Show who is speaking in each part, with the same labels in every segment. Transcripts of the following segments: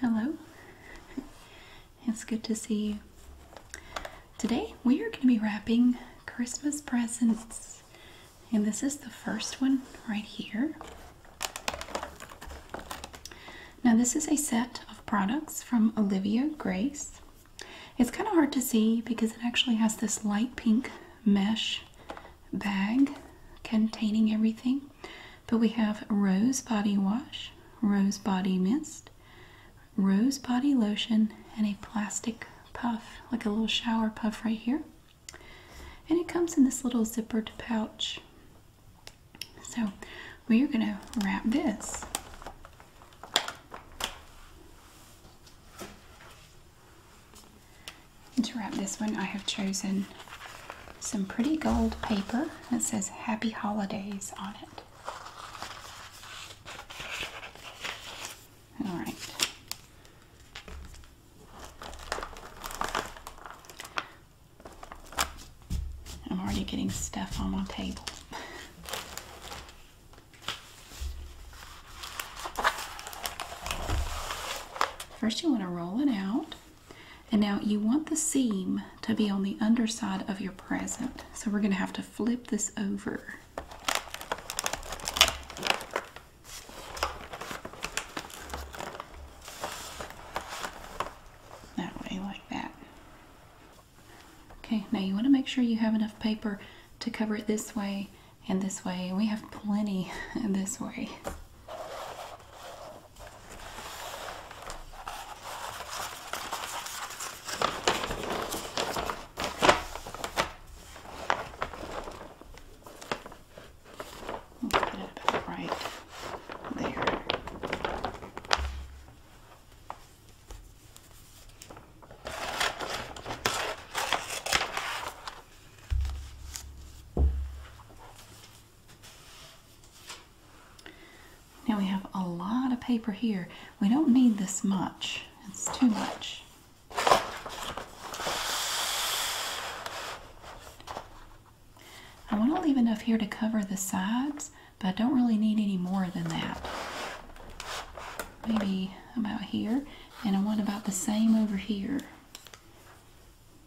Speaker 1: Hello, it's good to see you. Today we are going to be wrapping Christmas presents, and this is the first one right here. Now, this is a set of products from Olivia Grace. It's kind of hard to see because it actually has this light pink mesh bag containing everything. But we have Rose Body Wash, Rose Body Mist, Rose Body Lotion, and a plastic puff, like a little shower puff right here. And it comes in this little zippered pouch. So we are going to wrap this. to wrap this one, I have chosen some pretty gold paper that says Happy Holidays on it. All right. I'm already getting stuff on my table. First, you want to roll it out. And now you want the seam to be on the underside of your present. So we're going to have to flip this over. That way, like that. Okay, now you want to make sure you have enough paper to cover it this way and this way. we have plenty this way. I'll put it about right there. Now we have a lot of paper here. We don't need this much. It's too much. I want to leave enough here to cover the sides, but I don't really need any more than that. Maybe about here, and I want about the same over here.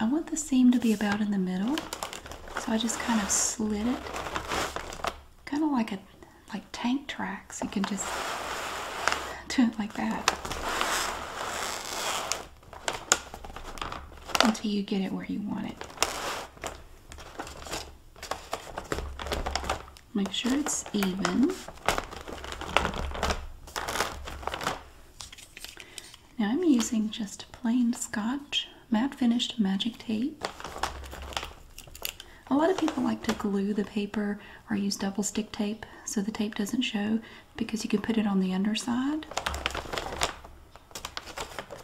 Speaker 1: I want the seam to be about in the middle, so I just kind of slid it, kind of like a like tank tracks. You can just do it like that until you get it where you want it. Make sure it's even. Now I'm using just plain scotch matte finished magic tape. A lot of people like to glue the paper or use double stick tape so the tape doesn't show because you can put it on the underside.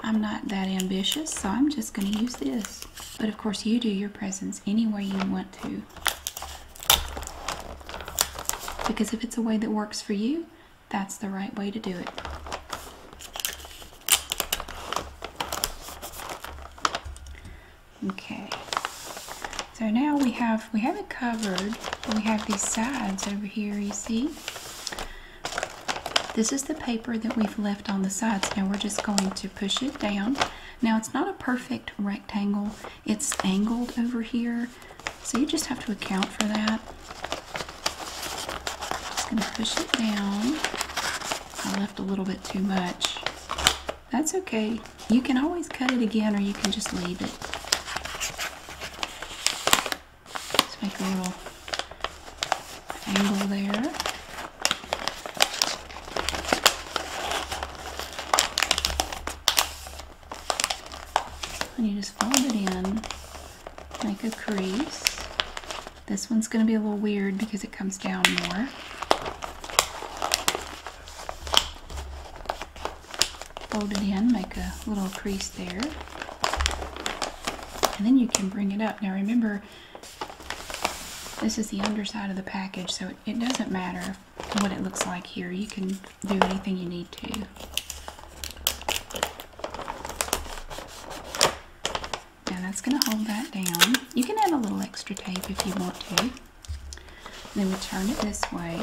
Speaker 1: I'm not that ambitious, so I'm just going to use this. But of course, you do your presents any way you want to. Because if it's a way that works for you, that's the right way to do it. Okay. So now we have, we have it covered. We have these sides over here, you see? This is the paper that we've left on the sides. Now we're just going to push it down. Now it's not a perfect rectangle. It's angled over here. So you just have to account for that. Just gonna push it down. I left a little bit too much. That's okay. You can always cut it again or you can just leave it. Just make a little angle there. And you just fold it in, make a crease. This one's going to be a little weird because it comes down more. Fold it in, make a little crease there. And then you can bring it up. Now remember, this is the underside of the package, so it, doesn't matter what it looks like here. You can do anything you need to. and that's going to hold that down. You can add a little extra tape if you want to. then we turn it this way.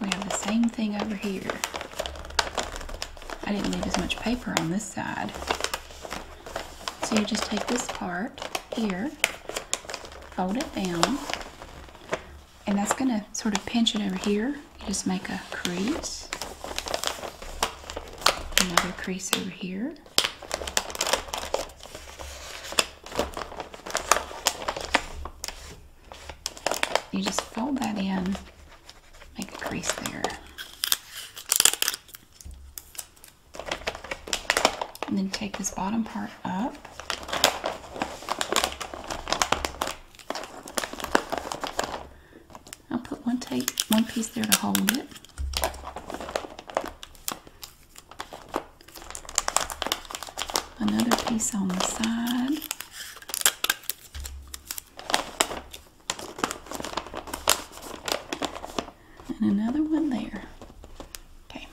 Speaker 1: We have the same thing over here. I didn't leave as much paper on this side. So you just take this part here, fold it down, and that's going to sort of pinch it over here. You just make a crease, another crease over here. You just fold that in, make a crease there. And then take this bottom part up. I'll put one tape, one piece there to hold it. Another piece on the side. And another one there. Okay,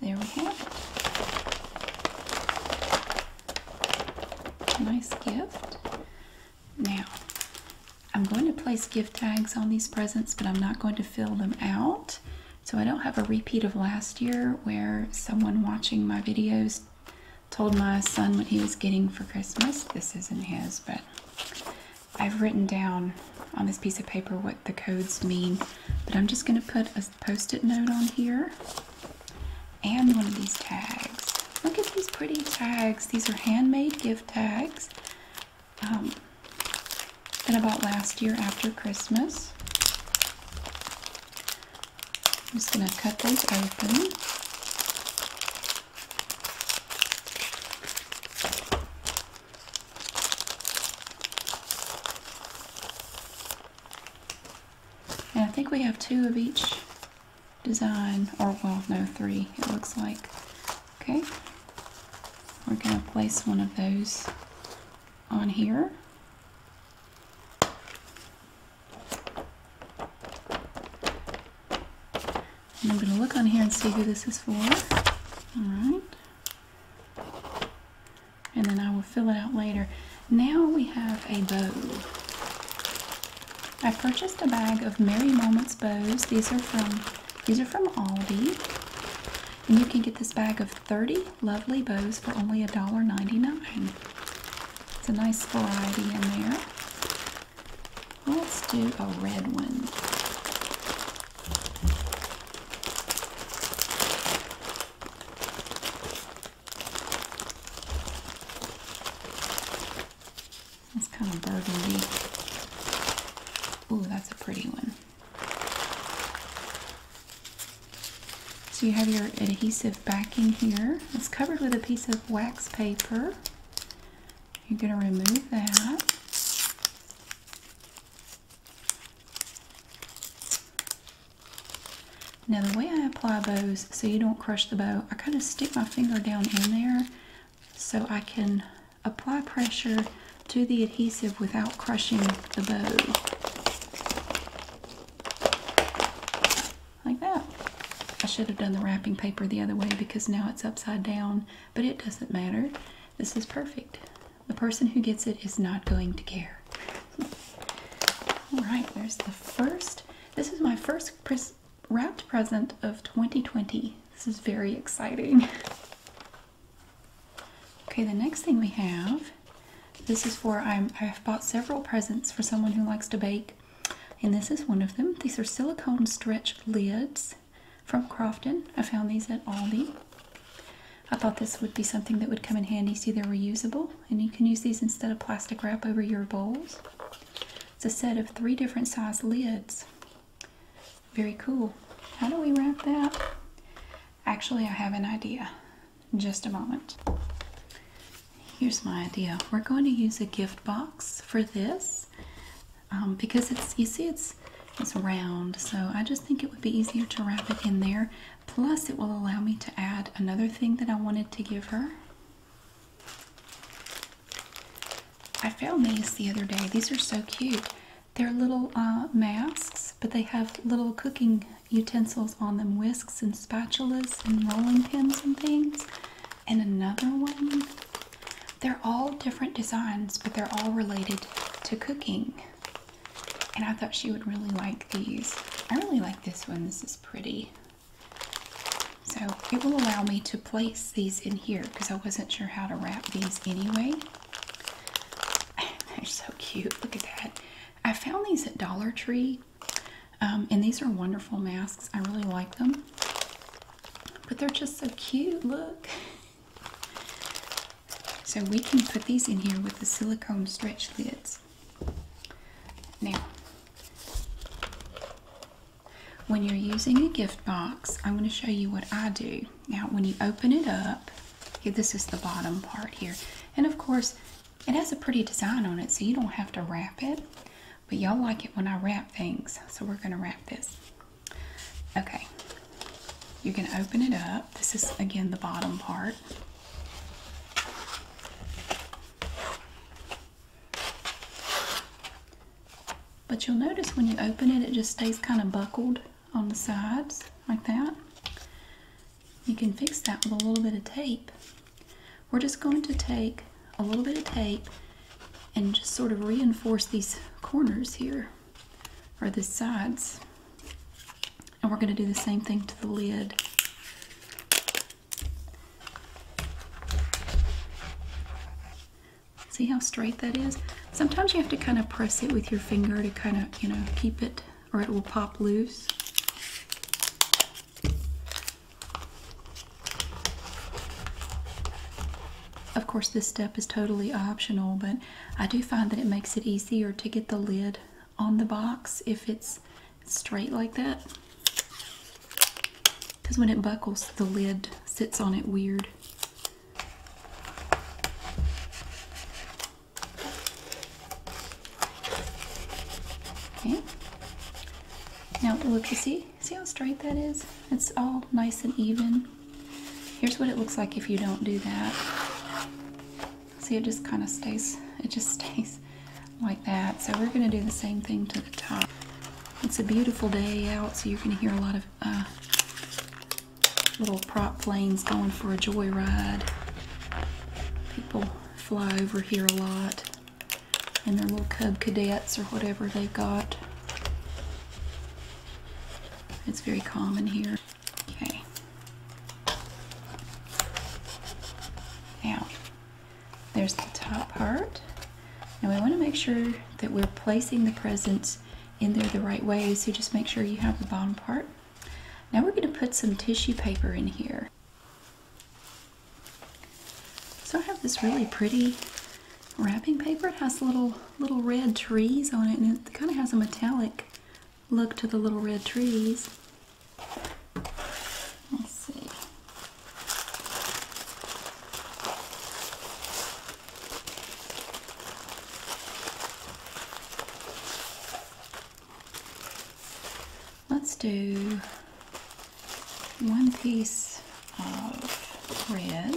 Speaker 1: there we have it. Nice gift. Now, I'm going to place gift tags on these presents, but I'm not going to fill them out. So I don't have a repeat of last year where someone watching my videos told my son what he was getting for Christmas. This isn't his, but I've written down on this piece of paper what the codes mean, but I'm just going to put a post-it note on here and one of these tags. Look at these pretty tags. These are handmade gift tags um, that I bought last year after Christmas. I'm just going to cut those open. I think we have two of each design, or well, no, three, it looks like. Okay, we're going to place one of those on here. I'm going to look on here and see who this is for. Alright. And then I will fill it out later. Now we have a bow. I purchased a bag of Merry Moments bows. These are from these are from Aldi. And you can get this bag of 30 lovely bows for only $1.99. It's a nice variety in there. Let's do a red one. It's kind of burgundy. Ooh, that's a pretty one. So you have your adhesive backing here. It's covered with a piece of wax paper. You're going to remove that. Now the way I apply bows so you don't crush the bow, I kind of stick my finger down in there so I can apply pressure to the adhesive without crushing the bow. Like that. I should have done the wrapping paper the other way because now it's upside down but it doesn't matter. This is perfect. The person who gets it is not going to care. All right, there's the first. This is my first wrapped present of 2020. This is very exciting. Okay, the next thing we have, this is for I've bought several presents for someone who likes to bake, and this is one of them. These are silicone stretch lids from Crofton. I found these at Aldi. I thought this would be something that would come in handy. See, they're reusable, and you can use these instead of plastic wrap over your bowls. It's a set of three different size lids. Very cool. How do we wrap that? Actually, I have an idea. Just a moment. Here's my idea. We're going to use a gift box for this. Um, because it's you see it's it's round so I just think it would be easier to wrap it in there plus it will allow me to add another thing that I wanted to give her I found these the other day these are so cute they're little uh, masks but they have little cooking utensils on them whisks and spatulas and rolling pins and things and another one they're all different designs, but they're all related to cooking. And I thought she would really like these. I really like this one. This is pretty. So it will allow me to place these in here because I wasn't sure how to wrap these anyway. They're so cute. Look at that. I found these at Dollar Tree. Um, and these are wonderful masks. I really like them. But they're just so cute. Look. So we can put these in here with the silicone stretch lids. Now, when you're using a gift box, I'm going to show you what I do. Now, when you open it up, here, this is the bottom part here. And of course, it has a pretty design on it, so you don't have to wrap it. But y'all like it when I wrap things, so we're going to wrap this. Okay, you can open it up. This is again the bottom part. But you'll notice when you open it, it just stays kind of buckled on the sides like that. You can fix that with a little bit of tape. We're just going to take a little bit of tape and just sort of reinforce these corners here or the sides and we're going to do the same thing to the lid see how straight that is sometimes you have to kind of press it with your finger to kind of you know keep it or it will pop loose of course this step is totally optional but I do find that it makes it easier to get the lid on the box if it's straight like that. Because when it buckles, the lid sits on it weird. Okay. Now look, you see? See how straight that is? It's all nice and even. Here's what it looks like if you don't do that. See, it just kind of stays, it just stays like that. So we're going to do the same thing to the top. It's a beautiful day out, so you're going to hear a lot of uh, little prop planes going for a joyride. People fly over here a lot, and their little cub cadets or whatever they've got. It's very common here. Okay. Now, there's the top part. Now we want to make sure that we're placing the presents in there the right way, so just make sure you have the bottom part. Now we're going to put some tissue paper in here. So I have this really pretty wrapping paper. It has little little red trees on it, and it kind of has a metallic look to the little red trees. Let's see. Let's do one piece of red.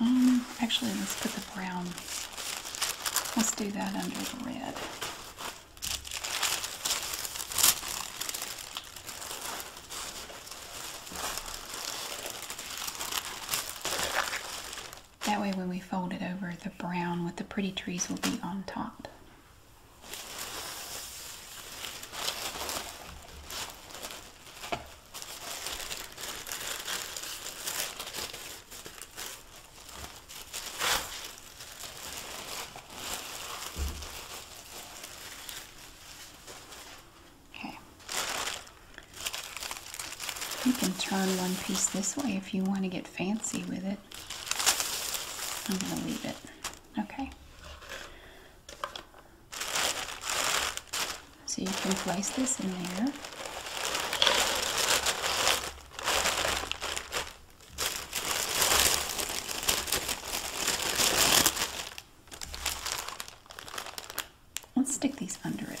Speaker 1: Um, actually, let's put the brown. Let's do that under the red. That way when we fold it over, the brown with the pretty trees will be on top. Okay. You can turn one piece this way if you want to get fancy with it. I'm going to leave it. Okay. So you can place this in there. Let's stick these under it.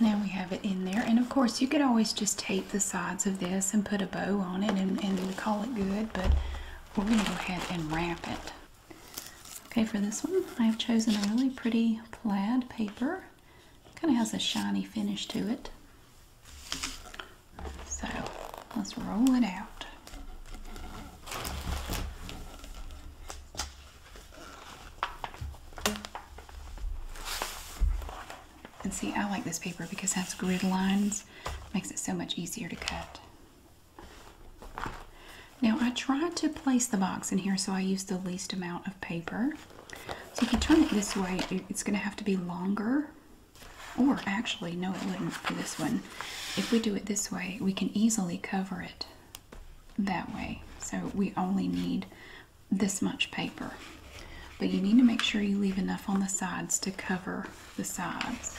Speaker 1: Now we have it in there. And of course, you could always just tape the sides of this and put a bow on it and, call it good, but we're going to go ahead and wrap it. Okay, for this one, I've chosen a really pretty plaid paper. Kind of has a shiny finish to it. So let's roll it out. And see, I like this paper because it has grid lines. Makes it so much easier to cut. Now I tried to place the box in here so I use the least amount of paper. So if you turn it this way, it's going to have to be longer. Or actually, no it wouldn't for this one. If we do it this way, we can easily cover it that way. So we only need this much paper. But you need to make sure you leave enough on the sides to cover the sides.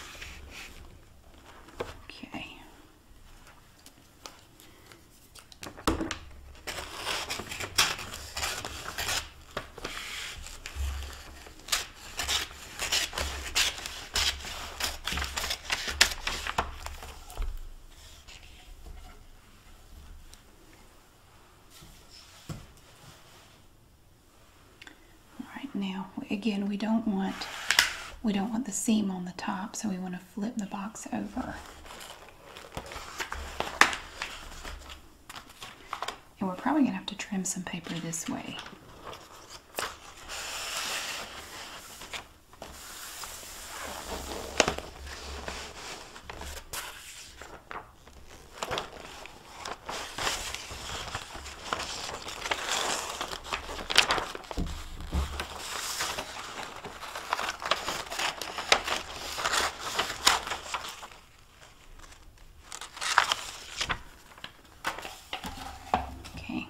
Speaker 1: Okay. All right now again we don't want we don't want the seam on the top so we want to flip the box over and we're probably gonna have to trim some paper this way Okay.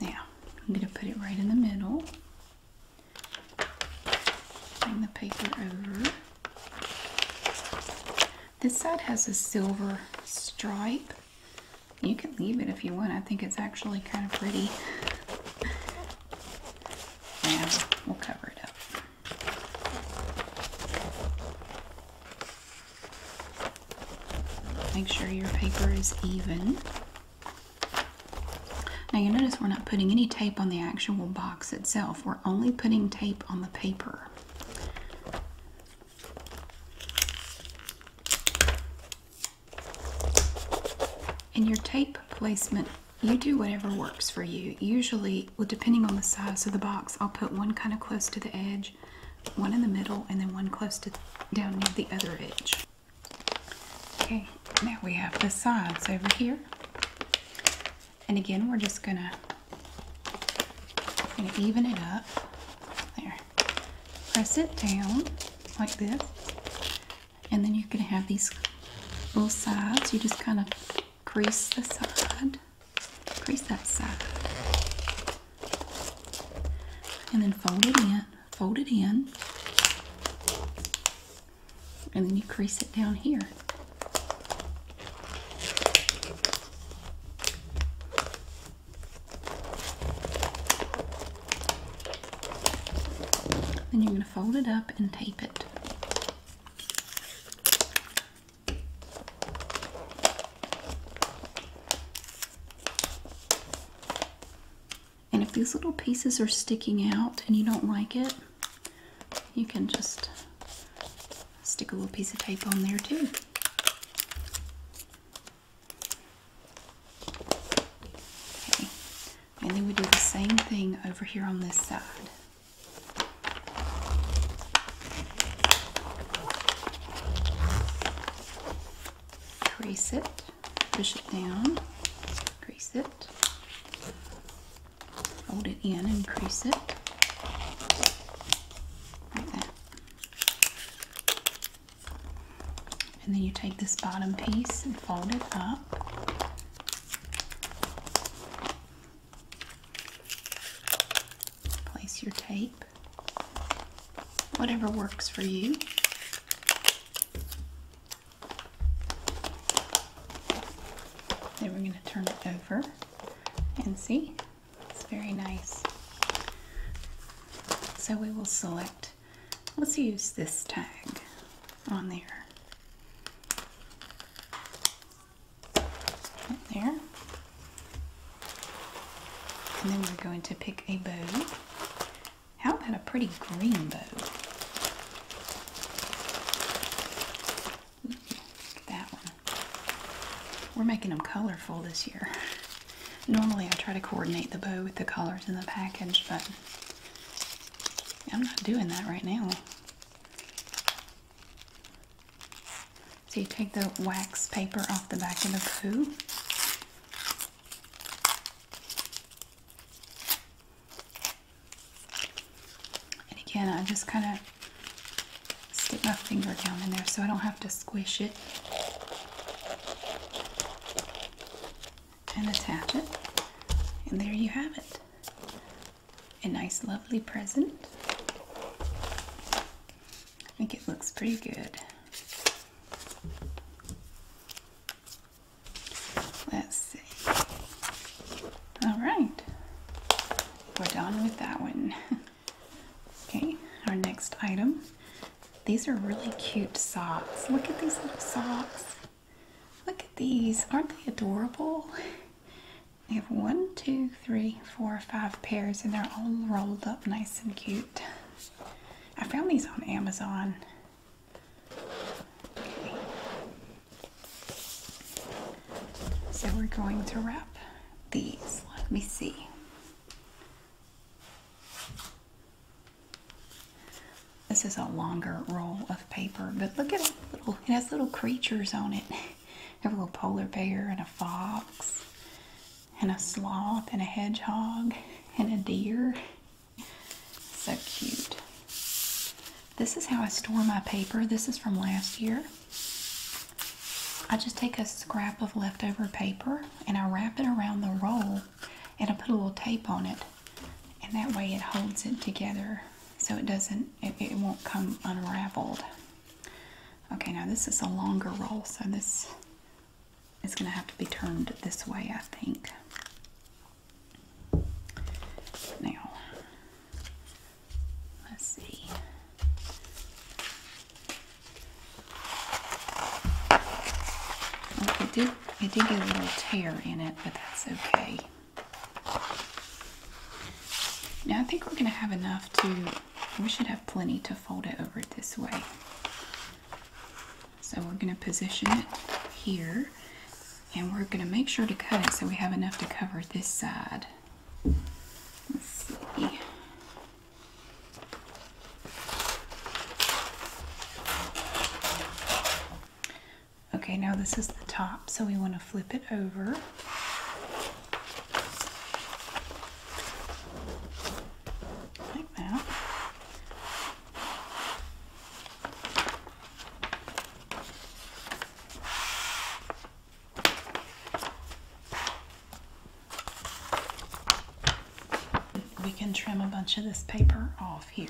Speaker 1: Now, I'm going to put it right in the middle. Bring the paper over. This side has a silver stripe. You can leave it if you want. I think it's actually kind of pretty. Now we'll cover it up. Make sure your paper is even. Now you notice we're not putting any tape on the actual box itself. We're only putting tape on the paper. In your tape placement, you do whatever works for you. Usually, depending on the size of the box, I'll put one kind of close to the edge, one in the middle, and then one close to down near the other edge. Okay, now we have the sides over here. And again, we're just gonna, even it up. There. Press it down like this. And then you're gonna have these little sides. You just kind of crease the side, crease that side. And then fold it in, fold it in and then you crease it down here. Then you're going to fold it up and tape it. And if these little pieces are sticking out and you don't like it, you can just stick a little piece of tape on there too. and then we do the same thing over here on this side. Crease it, push it down, crease it, fold it in and crease it like that. And then you take this bottom piece and fold it up. Place your tape, whatever works for you. Then we're going to turn it over and see, it's very nice. So we will select, let's use this tag on there. Right there. And then we're going to pick a bow. How about a pretty green bow? that one. We're making them colorful this year. Normally I try to coordinate the bow with the colors in the package, but I'm not doing that right now. So you take the wax paper off the back of the bow. And again, I just kind of stick my finger down in there so I don't have to squish it and attach it. And there you have it. A nice, lovely present. I think it looks pretty good. Let's see. All right, we're done with that one. okay, our next item. These are really cute socks. Look at these little socks. Look at these. Aren't they adorable? We have one, two, three, four, five pairs, and they're all rolled up nice and cute. I found these on Amazon. So we're going to wrap these. Let me see. This is a longer roll of paper, but look at it. it has little creatures on it. Have a little polar bear and a fox and a sloth and a hedgehog and a deer. So cute. This is how I store my paper. This is from last year. I just take a scrap of leftover paper and I wrap it around the roll and I put a little tape on it and that way it holds it together so it doesn't it, won't come unraveled. Okay, now this is a longer roll so this is going to have to be turned this way, I think. Now, let's see. Well, did it did get a little tear in it, but that's okay. Now I think we're gonna have enough to we should have plenty to fold it over this way. So we're gonna position it here and we're going to make sure to cut it so we have enough to cover this side. Okay, now this is the top, so we want to flip it over. Like that. We can trim a bunch of this paper off here.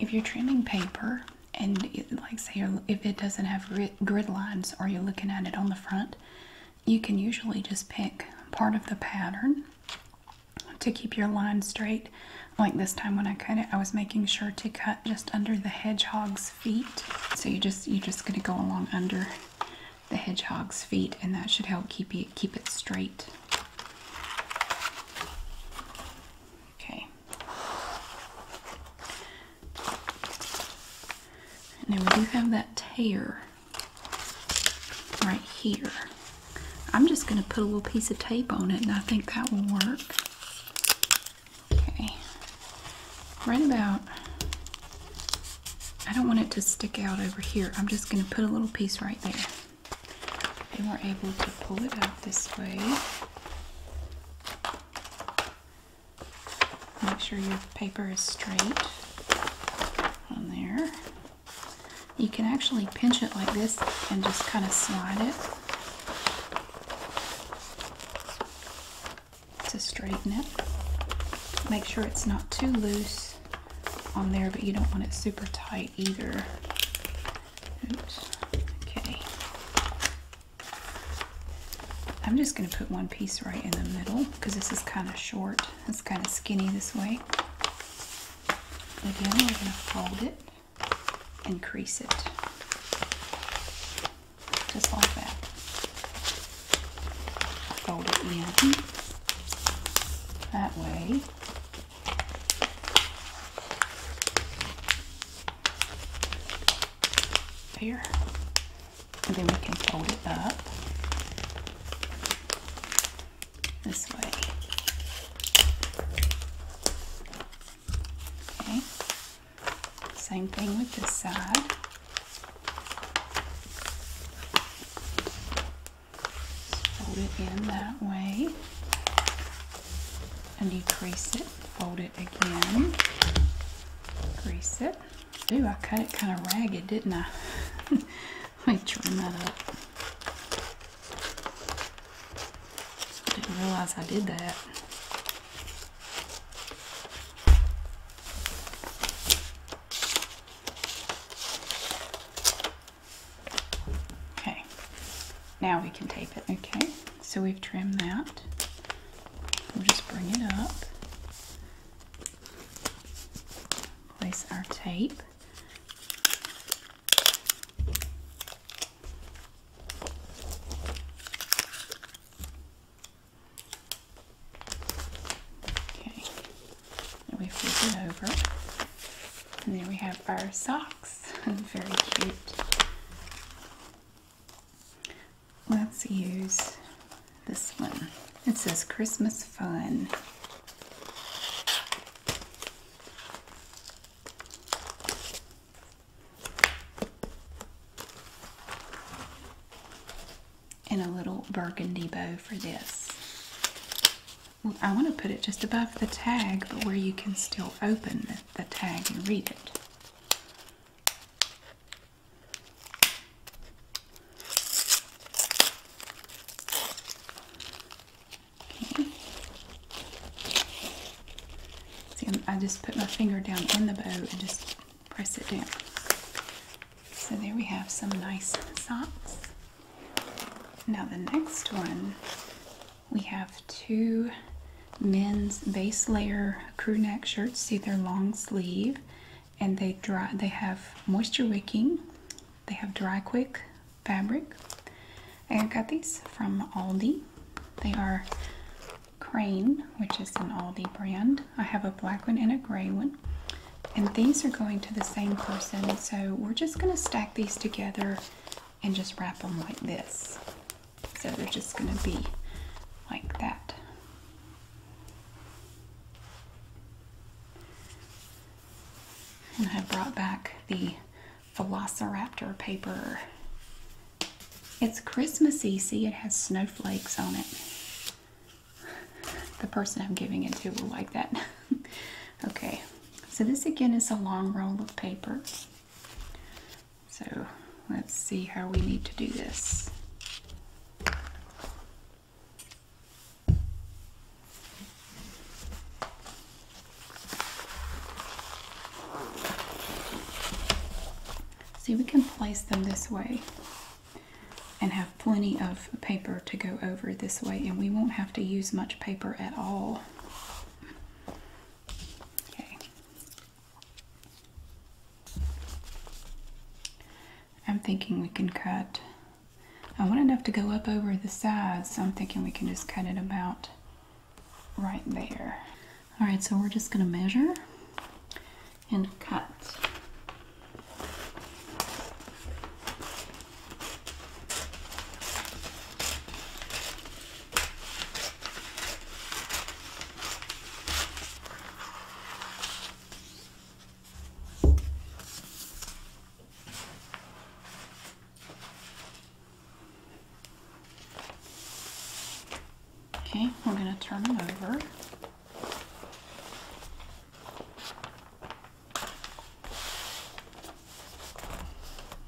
Speaker 1: If you're trimming paper and like say if it doesn't have grid, lines or you're looking at it on the front, you can usually just pick part of the pattern to keep your line straight. Like this time when I cut it, I was making sure to cut just under the hedgehog's feet. So you just you're just gonna go along under the hedgehog's feet, and that should help keep it keep it straight. Okay. Now we do have that tear right here. I'm just going to put a little piece of tape on it, and I think that will work. Okay. Right about I don't want it to stick out over here. I'm just going to put a little piece right there. And we're able to pull it out this way. Make sure your paper is straight on there. You can actually pinch it like this and just kind of slide it to straighten it. Make sure it's not too loose on there, but you don't want it super tight either. Okay. I'm just going to put one piece right in the middle because this is kind of short. It's kind of skinny this way. Again, we're going to fold it and crease it just like that fold it in that way. There. And then we can fold it up this way. Same thing with this side. Fold it in that way and you crease it, fold it again, crease it. Ooh, I cut it kind of ragged, didn't I? Let me trim that up. Didn't realize I did that. Okay, now we can tape it. Okay, so we've trimmed that. We'll just bring it up, place our tape. Okay, and we flip it over. And then we have our socks. Very cute. Let's use this one. It says Christmas Fun and a little burgundy bow for this. I want to put it just above the tag, but where you can still open the, tag and read it. See, I just put my finger down in the bow and just press it down. So there we have some nice socks. Now the next one, we have two men's base layer crew neck shirts. See, they're long sleeve, and they dry. They have moisture wicking. They have dry quick fabric. I got these from Aldi. They are Crane, which is an Aldi brand. I have a black one and a gray one. And these are going to the same person. So we're just going to stack these together and just wrap them like this. So they're just going to be like that. And I brought back the Velociraptor paper. It's Christmassy. See, it has snowflakes on it the person I'm giving it to will like that. okay, so this again is a long roll of paper. So let's see how we need to do this. See, we can place them this way and have plenty of paper to go over this way and we won't have to use much paper at all. Okay. I'm thinking we can cut. I want enough to go up over the sides, so I'm thinking we can just cut it about right there. All right, so we're just gonna measure and cut. Okay, we're going to turn it over.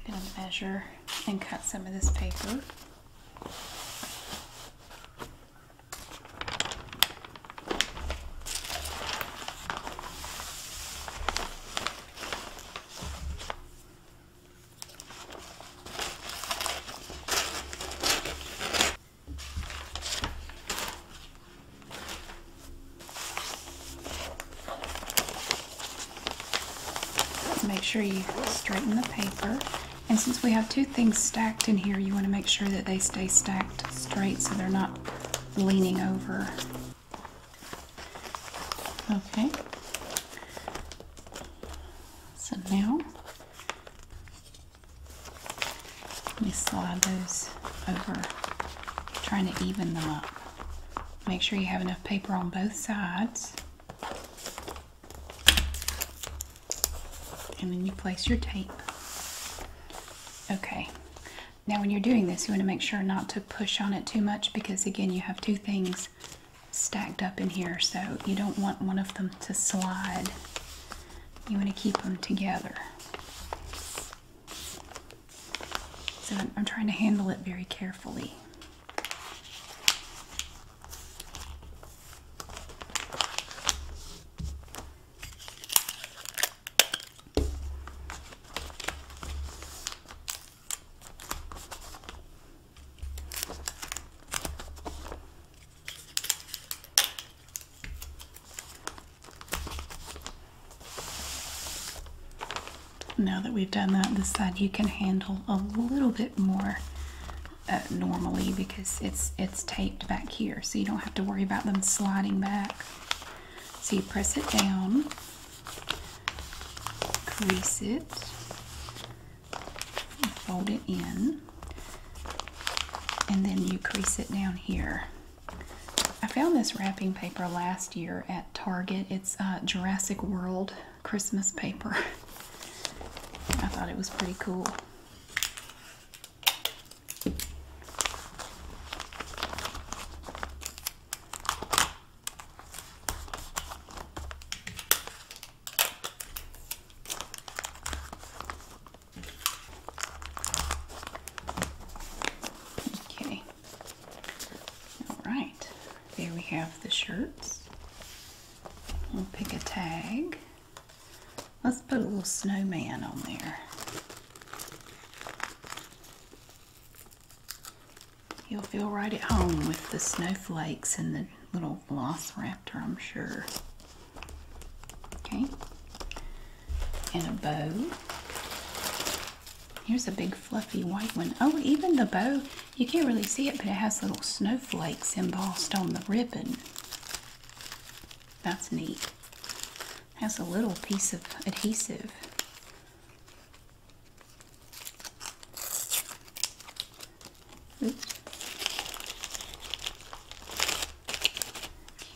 Speaker 1: I'm going to measure and cut some of this paper make sure you straighten the paper. And since we have two things stacked in here, you want to make sure that they stay stacked straight so they're not leaning over. Okay. So now let me slide those over, trying to even them up. Make sure you have enough paper on both sides. And then you place your tape. Okay. Now when you're doing this, you want to make sure not to push on it too much because again, you have two things stacked up in here, so you don't want one of them to slide. You want to keep them together. So I'm, trying to handle it very carefully. Now that we've done that, this side you can handle a little bit more uh, normally because it's it's taped back here, so you don't have to worry about them sliding back. So you press it down, crease it, fold it in, and then you crease it down here. I found this wrapping paper last year at Target. It's uh, Jurassic World Christmas paper. I thought it was pretty cool. Okay. All right. There we have the shirts. We'll pick a tag. Let's put a little snowman on there. You'll feel right at home with the snowflakes and the little velociraptor, I'm sure. Okay. And a bow. Here's a big fluffy white one. Oh, even the bow, you can't really see it, but it has little snowflakes embossed on the ribbon. That's neat. Has a little piece of adhesive. Oops.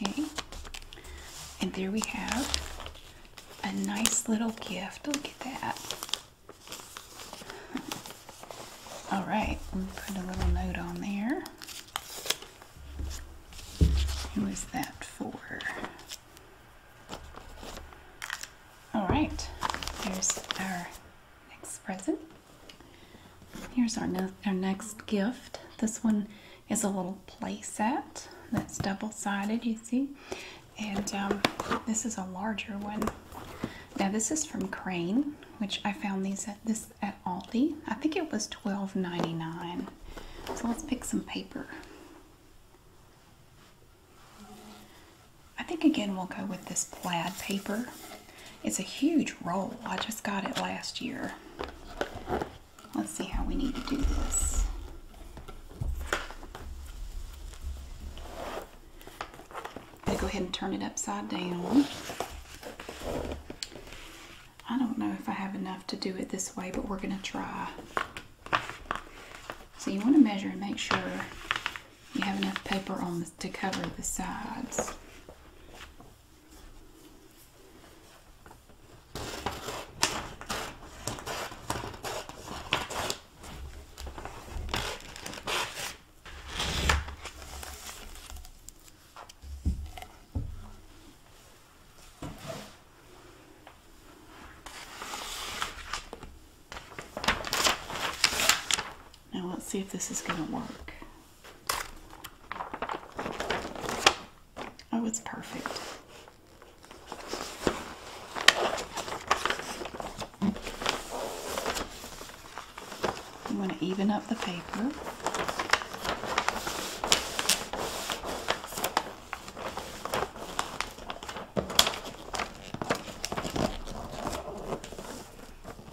Speaker 1: Okay, and there we have a nice little gift. Look at that. All right, let me put a little note on there. Who is that for? All right, there's our next present. Here's our, our next gift. This one is a little play set that's double-sided you see and um, this is a larger one now this is from crane which i found these at this at aldi i think it was twelve ninety-nine. so let's pick some paper i think again we'll go with this plaid paper it's a huge roll i just got it last year Let's see how we need to do this. I'm going to go ahead and turn it upside down. I don't know if I have enough to do it this way, but we're going to try. So you want to measure and make sure you have enough paper on to cover the sides. Now let's see if this is going to work. Oh, it's perfect. You want to even up the paper.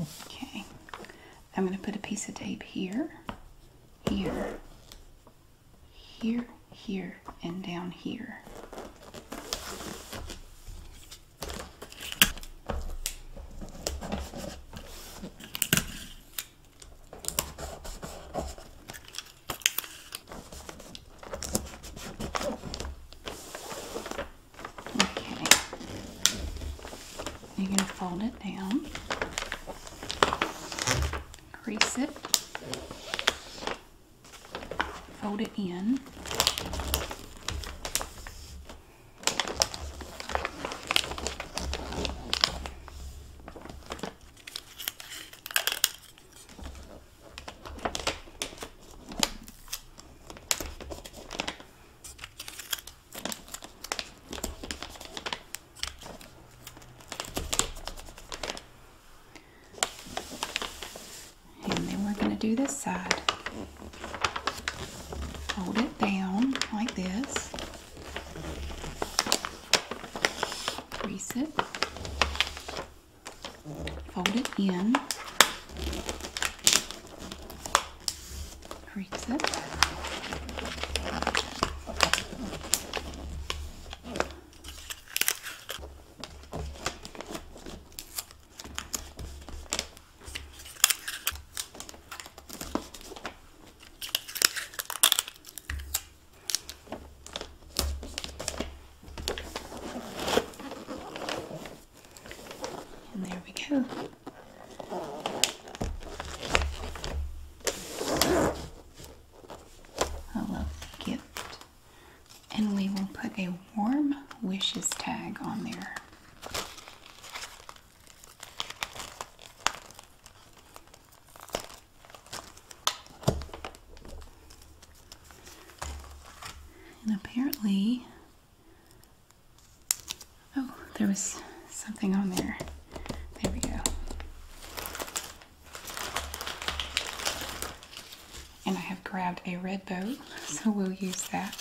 Speaker 1: Okay, I'm going to put a piece of tape here here, here, here, and down here. Okay. You're going to fold it down, crease it, fold it in. And then we're going to do this side. Hold it down like this. Crease it. Fold it in reads it. And there we go a lovely gift. And we will put a warm wishes tag on there. And apparently, oh, there was something on there. There we go. And I have grabbed a red boat, so we'll use that.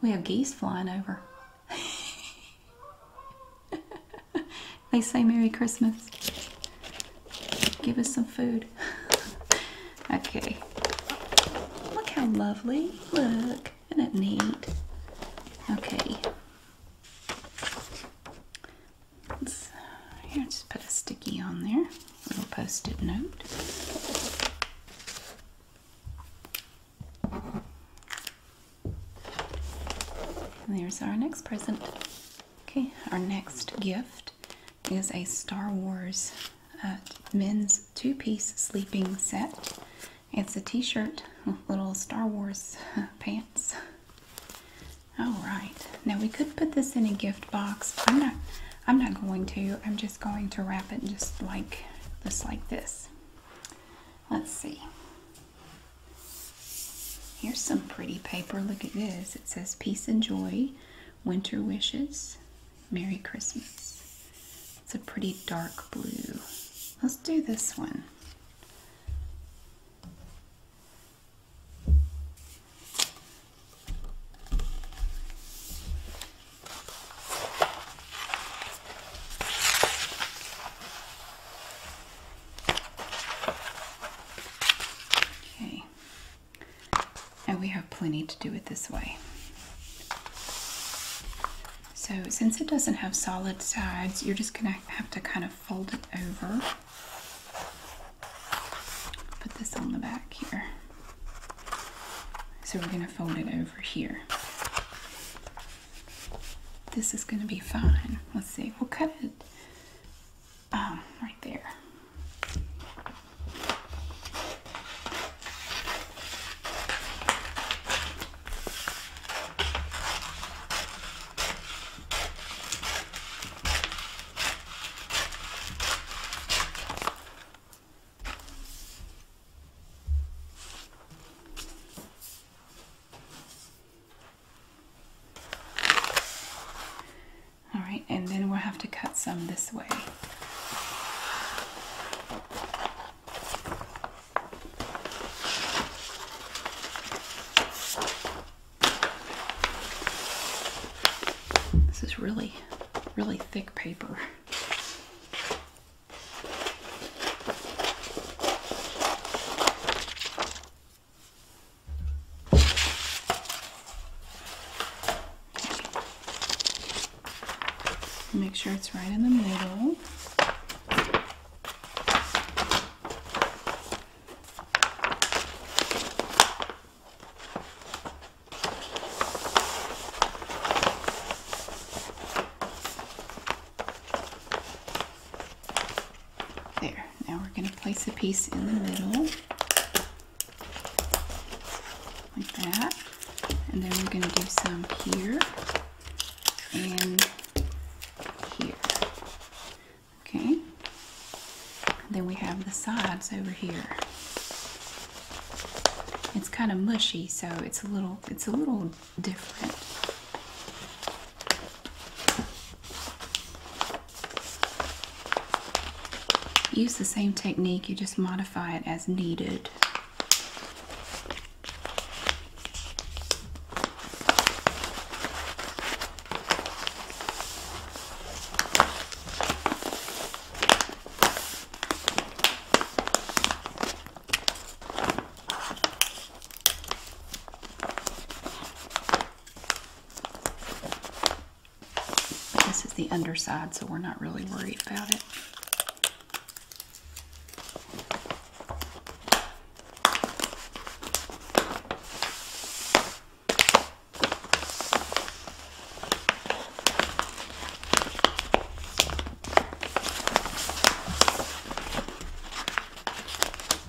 Speaker 1: We have geese flying over. they say Merry Christmas. Give us some food. okay. Look how lovely. Look. Isn't it neat? Okay. here, just put a sticky on there. little post-it note. there's our next present. Okay, our next gift is a Star Wars uh, men's two piece sleeping set. It's a t shirt little Star Wars uh, pants. Alright, now we could put this in a gift box. I'm not. I'm not going to. I'm just going to wrap it just like this like this. Let's see. Here's some pretty paper. Look at this. It says Peace and Joy, Winter Wishes, Merry Christmas. It's a pretty dark blue. Let's do this one. Okay. And we have plenty to do it this way. So since it doesn't have solid sides, you're just going to have to kind of fold it over. Put this on the back here. So we're going to fold it over here. This is going to be fine. Let's see. We'll cut it um, right there. All right, and then we'll have to cut some this way. This is really, really thick paper. Make sure it's right in the middle. There, now we're going to place a piece in the middle, like that, and then we're going to do some here and here. Okay, then we have the sides over here. It's kind of mushy, so it's a little it's a little different. Use the same technique, you just modify it as needed. This is the underside, so we're not really worried about it.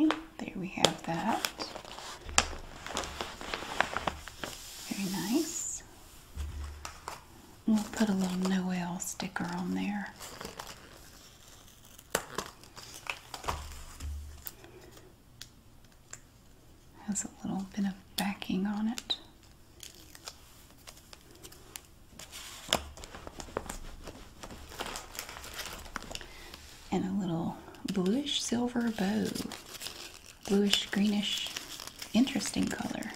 Speaker 1: Okay, there we have that. Very nice. We'll put a little Noel sticker on there. Has a little bit of backing on it. And a little bluish silver bow. Bluish, greenish, interesting color.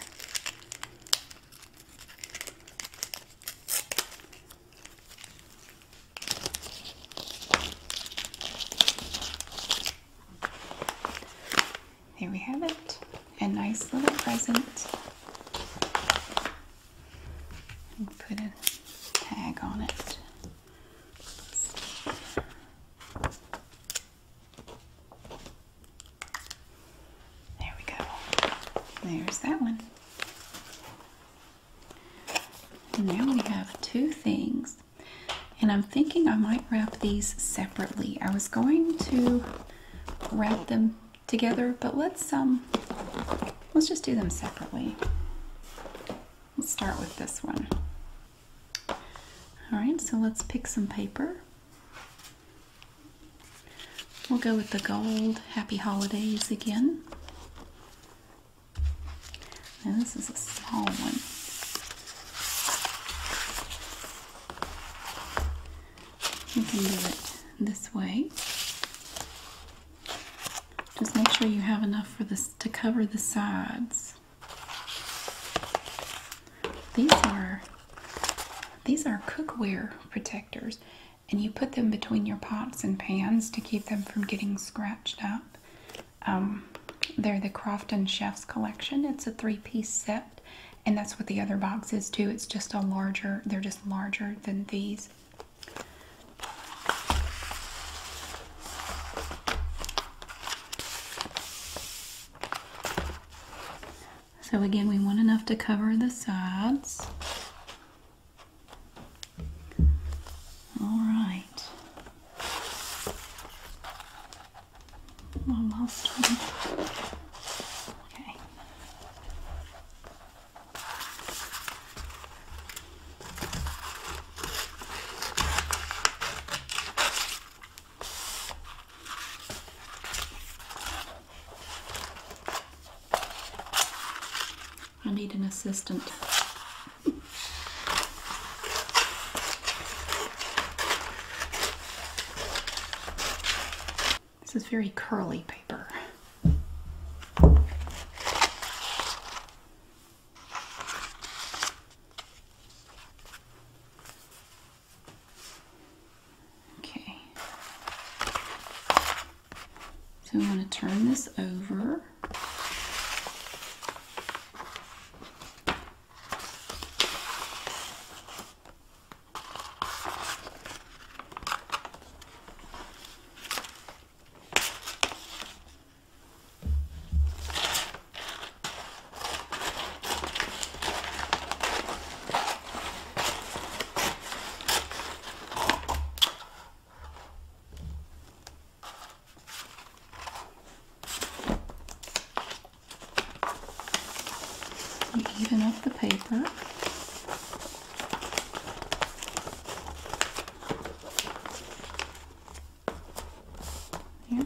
Speaker 1: Here we have it. A nice little present. put a tag on it. There we go. There's that one now we have two things. And I'm thinking I might wrap these separately. I was going to wrap them together, but let's um let's just do them separately. Let's start with this one. All right, so let's pick some paper. We'll go with the gold Happy Holidays again. Now this is a small one. You can do it this way. Just make sure you have enough for this to cover the sides. These are these are cookware protectors and you put them between your pots and pans to keep them from getting scratched up. Um, they're the Crofton Chef's Collection. It's a three-piece set, and that's what the other box is too. It's just a larger. They're just larger than these. So again, we want enough to cover the sides. All right. One Okay. I need an assistant. This is very curly paper. Okay. So I'm going to turn this over even up the paper. Here.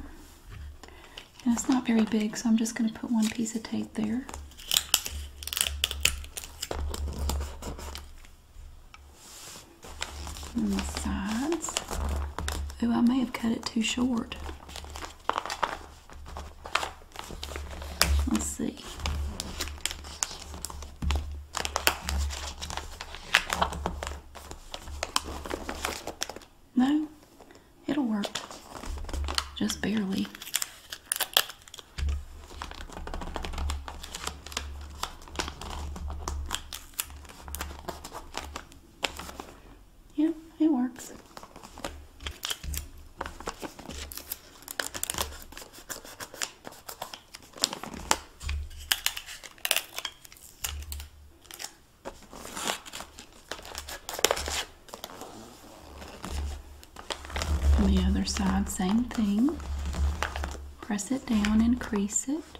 Speaker 1: And it's not very big, so I'm just going to put one piece of tape there. And the sides. Oh, I may have cut it too short. Let's see. No, it'll work. Just barely. Yeah, it works. the other side, same thing press it down and crease it.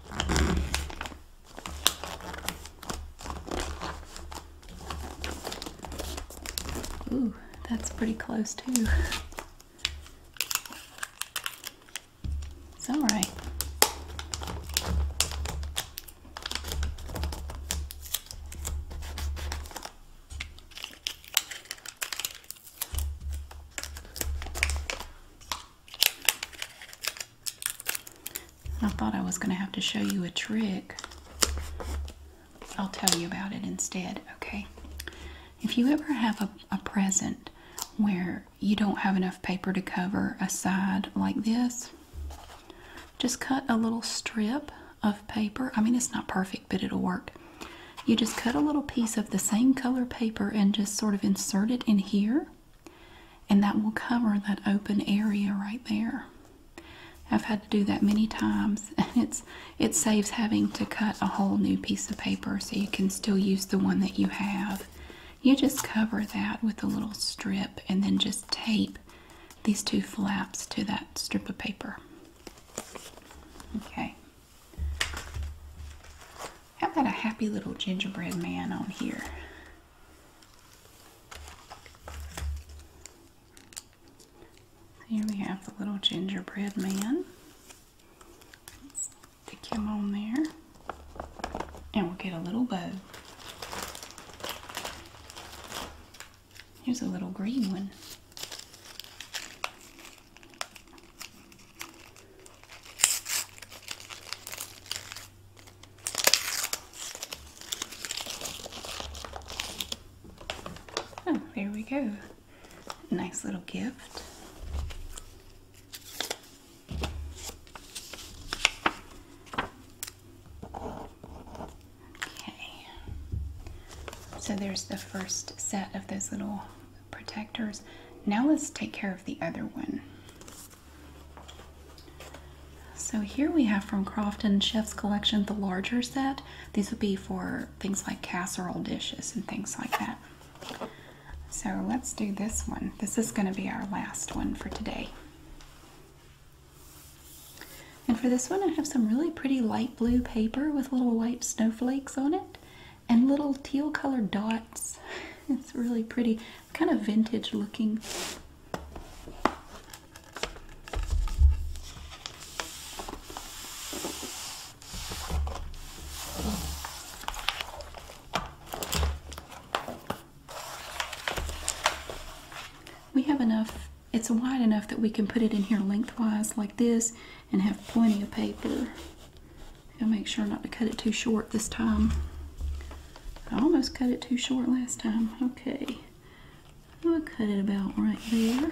Speaker 1: Ooh, that's pretty close too. It's all right. I thought I was going to have to show you a trick. I'll tell you about it instead, okay? If you ever have a, a present where you don't have enough paper to cover a side like this, just cut a little strip of paper. I mean, it's not perfect, but it'll work. You just cut a little piece of the same color paper and just sort of insert it in here, and that will cover that open area right there. I've had to do that many times, and it's it saves having to cut a whole new piece of paper so you can still use the one that you have. You just cover that with a little strip and then just tape these two flaps to that strip of paper. Okay. How about a happy little gingerbread man on here? Here we have the little gingerbread man. stick him on there. And we'll get a little bow. Here's a little green one. Oh, there we go. Nice little gift. Okay. So there's the first set of those little protectors. Now let's take care of the other one. So here we have from Crofton Chef's Collection the larger set. These would be for things like casserole dishes and things like that. So let's do this one. This is going to be our last one for today. And for this one I have some really pretty light blue paper with little white snowflakes on it and little teal colored dots. It's really pretty, kind of vintage looking. We have enough, it's wide enough that we can put it in here lengthwise like this and have plenty of paper. I'll make sure not to cut it too short this time. I almost cut it too short last time. Okay. i am gonna cut it about right there.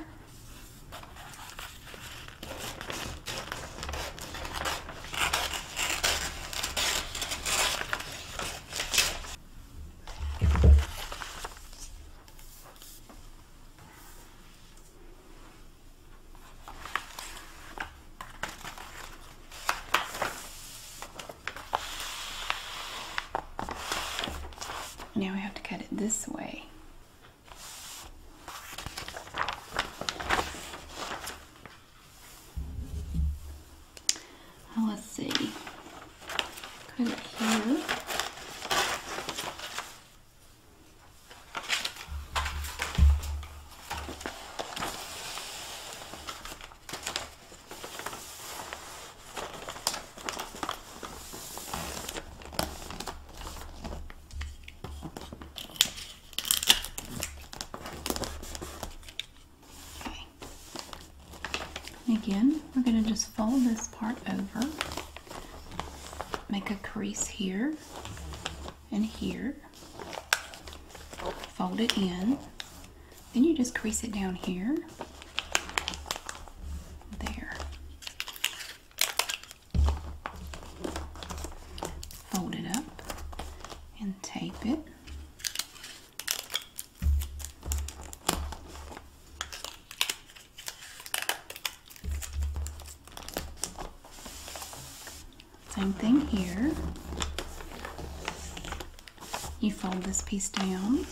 Speaker 1: Now we have to cut it this way. let's see. Cut it here again, we're going to just fold this part over, make a crease here, and here. Fold it in. Then you just crease it down here. There. Fold it up and tape it. Same thing here. You fold this piece down,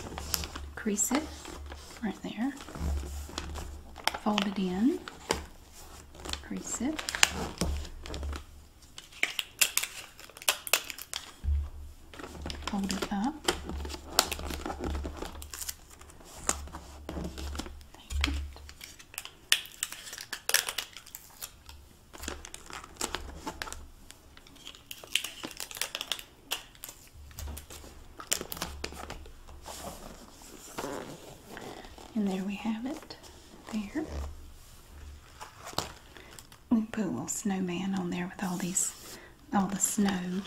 Speaker 1: crease it right there, fold it in, crease it. Fold it up. And there we have it. There. We put a little snowman on there with all these, all the snow.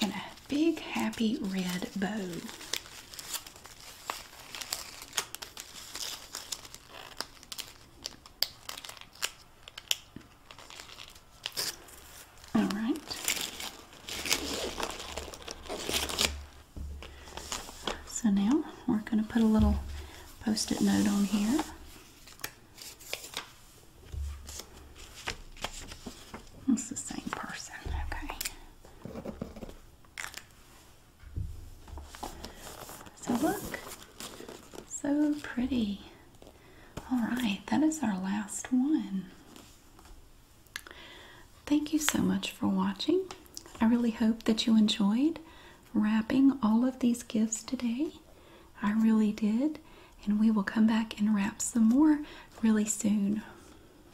Speaker 1: And a big happy red bow. All right. So now we're going to put a little post it note on here. It's the same person, okay. So look, so pretty. All right, that is our last one. Thank you so much for watching. I really hope that you enjoyed wrapping all of these gifts today. I really did. And we will come back and wrap some more really soon.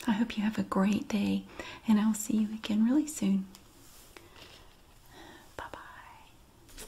Speaker 1: I hope you have a great day, and I'll see you again really soon. Bye bye.